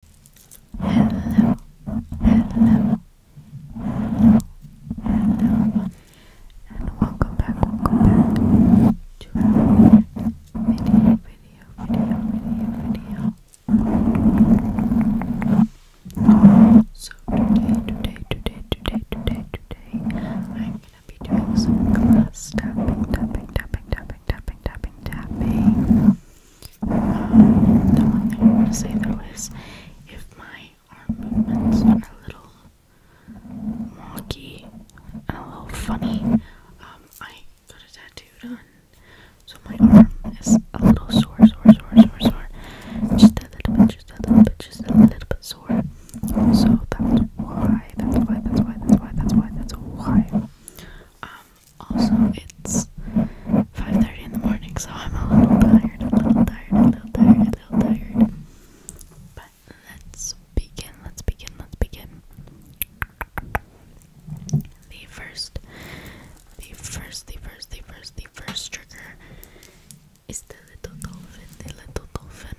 Hello, hello, hello, and welcome back, welcome back to another video, video, video, video, video. So today, today, today, today, today, today, I'm gonna be doing some glass tapping, tapping, tapping, tapping, tapping, tapping, tapping. Um, the one thing I want to say though is if my arm movements are a little wonky and a little funny, um, I got a tattoo done. So my arm is a little sore, sore, sore, sore, sore. Just a little bit, just a little bit, just a little bit sore. So that's why, that's why, that's why, that's why, that's why, that's why. Um, also, it's 5:30 in the morning, so I'm a little tired, a little tired, a little tired, a little tired. But let's begin. Let's begin. Let's begin. The first, the first, the first, the first, the first trigger is the little dolphin. The little dolphin.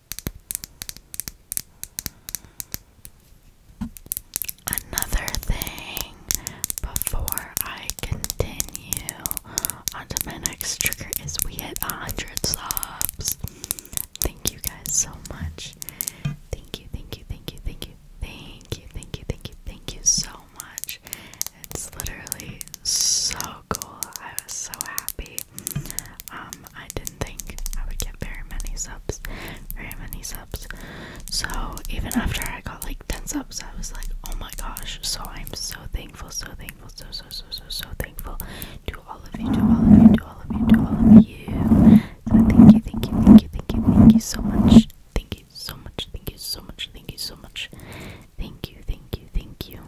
Another thing before I continue on to my next trigger is we hit 100 subs. Thank you guys so much. Thank you, thank you, thank you, thank you, thank you, thank you, thank you, thank you so much. It's literally so cool. I was so happy. Um, I didn't think I would get very many subs, very many subs. So even after I got like 10 subs, I was like, oh my gosh. So I'm so thankful, so thankful, so so so so so thankful to all of you, to all of you, to all of you, to all of you. So thank you, thank you, thank you, thank you, thank you so much. Thank you so much, thank you so much, thank you so much. Thank you, thank you, thank you.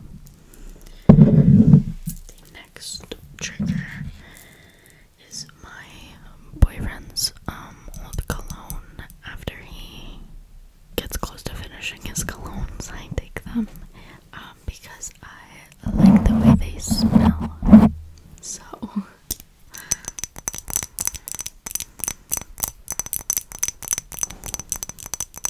The next trigger is my boyfriend's um old cologne. After he gets close to finishing his colognes, I take them um, because I like the way they smell. So.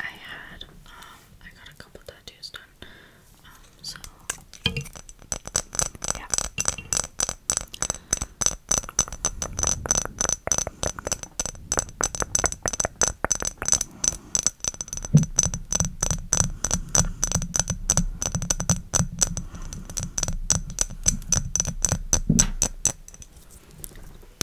I had, um, I got a couple tattoos done, um, so, yeah.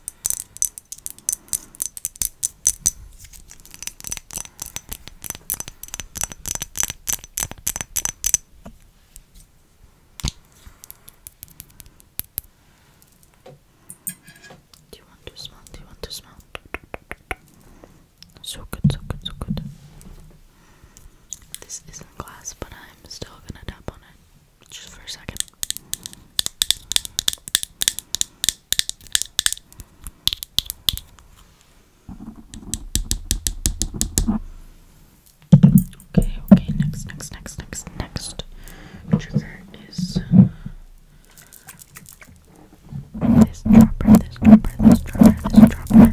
Do you want to smell? Do you want to smell? So good, so good, so good. This isn't glass, but I'm still gonna tap on it just for a second. Okay, okay, next, next, next, next, next trigger is this dropper, this dropper, this dropper, this dropper.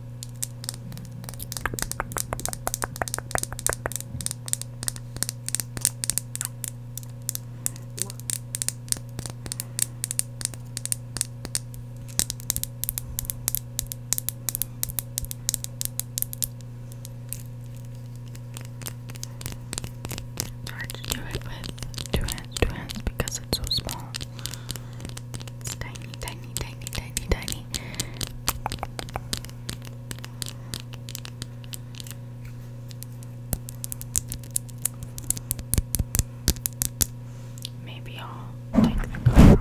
It's hard do it with two hands, two hands because it's so small tiny, tiny, tiny, tiny, Maybe I'll take the cover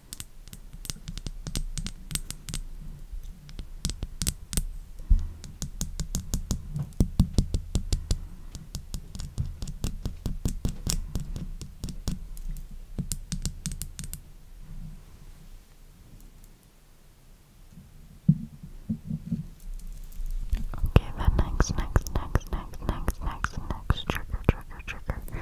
Okay, the next, next, next, next, next, next, next trigger, trigger, trigger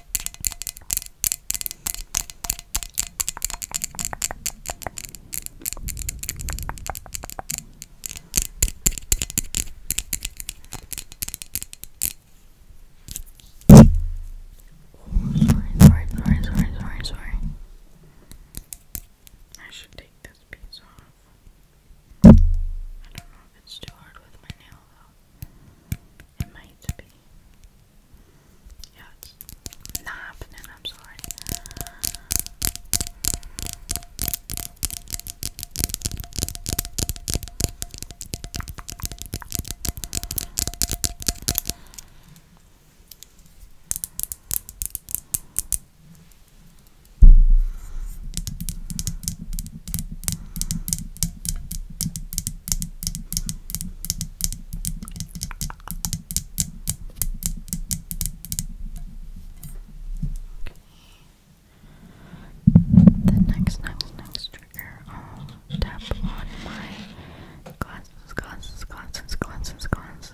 sorry, sorry, sorry, sorry, sorry. I should take this piece off. I don't know if it's too with my nail it might be. Yeah, it's not happening, I'm sorry. Okay. The next, next, next trigger, I'll tap on my glasses, glasses, glasses, glasses, glasses.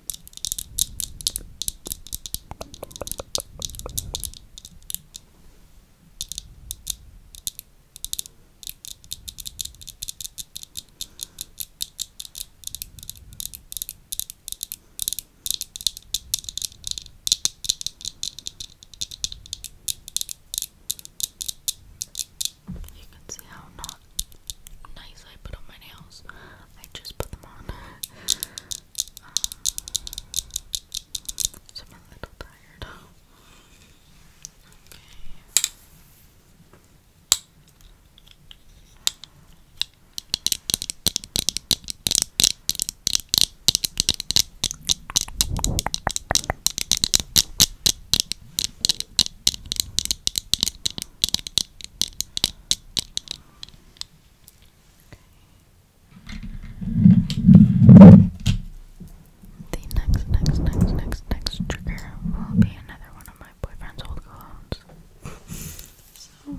You can see how nice I put on my nails. I just put them on. so um, I'm a little tired. The next, next, next, next, next trigger will be another one of my boyfriend's old colognes. so.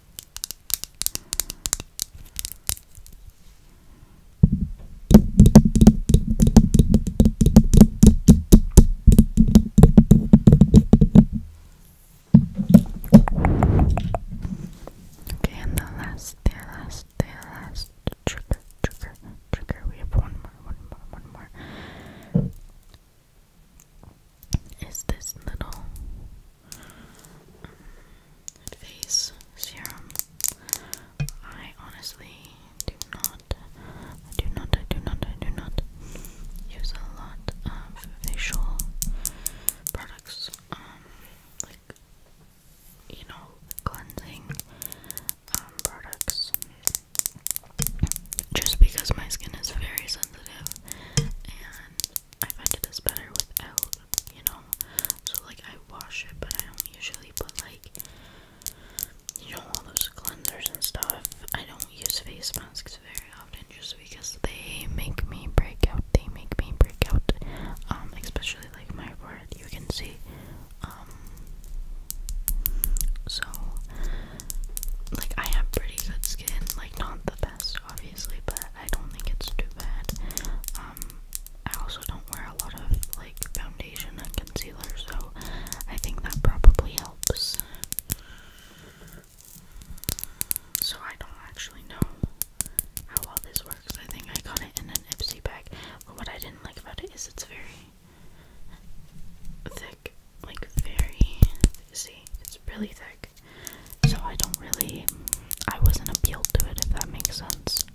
Okay, and the last, the last, the last trigger, trigger, trigger. We have one more, one more, one more. Is this little face serum. I honestly do not, do not, I do not, I do not use a lot of facial products. Um, like you know, cleansing um, products. Just because my skin is very sensitive I find it is better without, you know. So like I wash it, but I don't usually put like you know all those cleansers and stuff. I don't use face masks very often just because they make me break out. They make me break out. Um, especially like my forehead, you can see. Um, so like I have pretty good skin, like not the best obviously, but I don't think it's too bad. Um, I also don't wear a lot of like foundation and concealer, so I think that probably helps. So I don't actually know how well this works. I think I got it in an Ipsy bag, but what I didn't like about it is it's very thick, like very see, it's really thick so I don't really I wasn't appealed to it if that makes sense.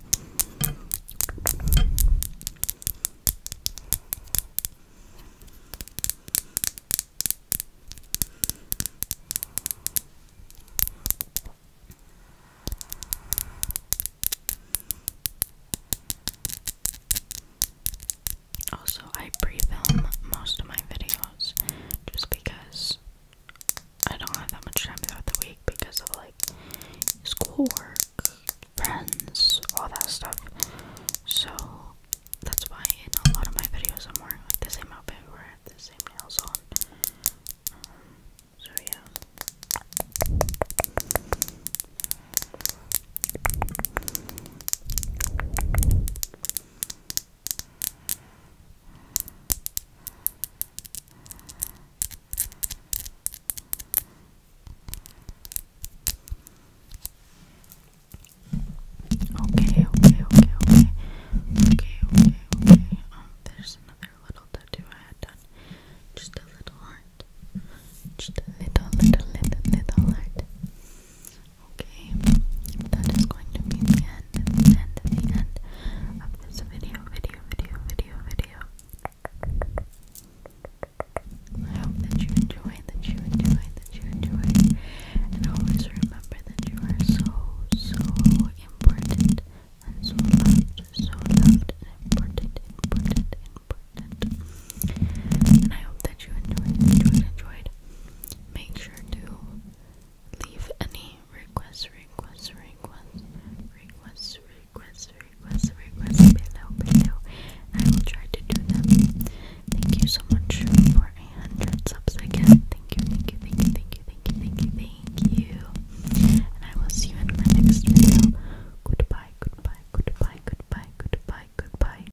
Also, I pre film most of my videos just because because I don't have that much time throughout the week because of like schoolwork, friends, all that stuff. So that's why in a lot of my videos I'm wearing like the same outfit or I have the same nails on. Um, so yeah. Okay, okay, okay, okay. Okay, okay, okay. Um, there's another little tattoo I had done. Just a little heart. Just a little, little, little, little heart. Okay, that is going to be the end, the end, the end of this video, video, video, video, video. I hope that you enjoy, that you enjoy, that you enjoy. And always remember that you are so, so important and so loved, so loved important, important, important. And I hope that you enjoyed, enjoyed, enjoyed Make sure to leave any requests, requests, requests, requests, requests, requests, requests below, below. I will try to do them. Thank you so much for a hundred subs again. Thank you, thank you, thank you, thank you, thank you, thank you, thank you. And I will see you in my next video. Goodbye, goodbye, goodbye, goodbye, goodbye, goodbye.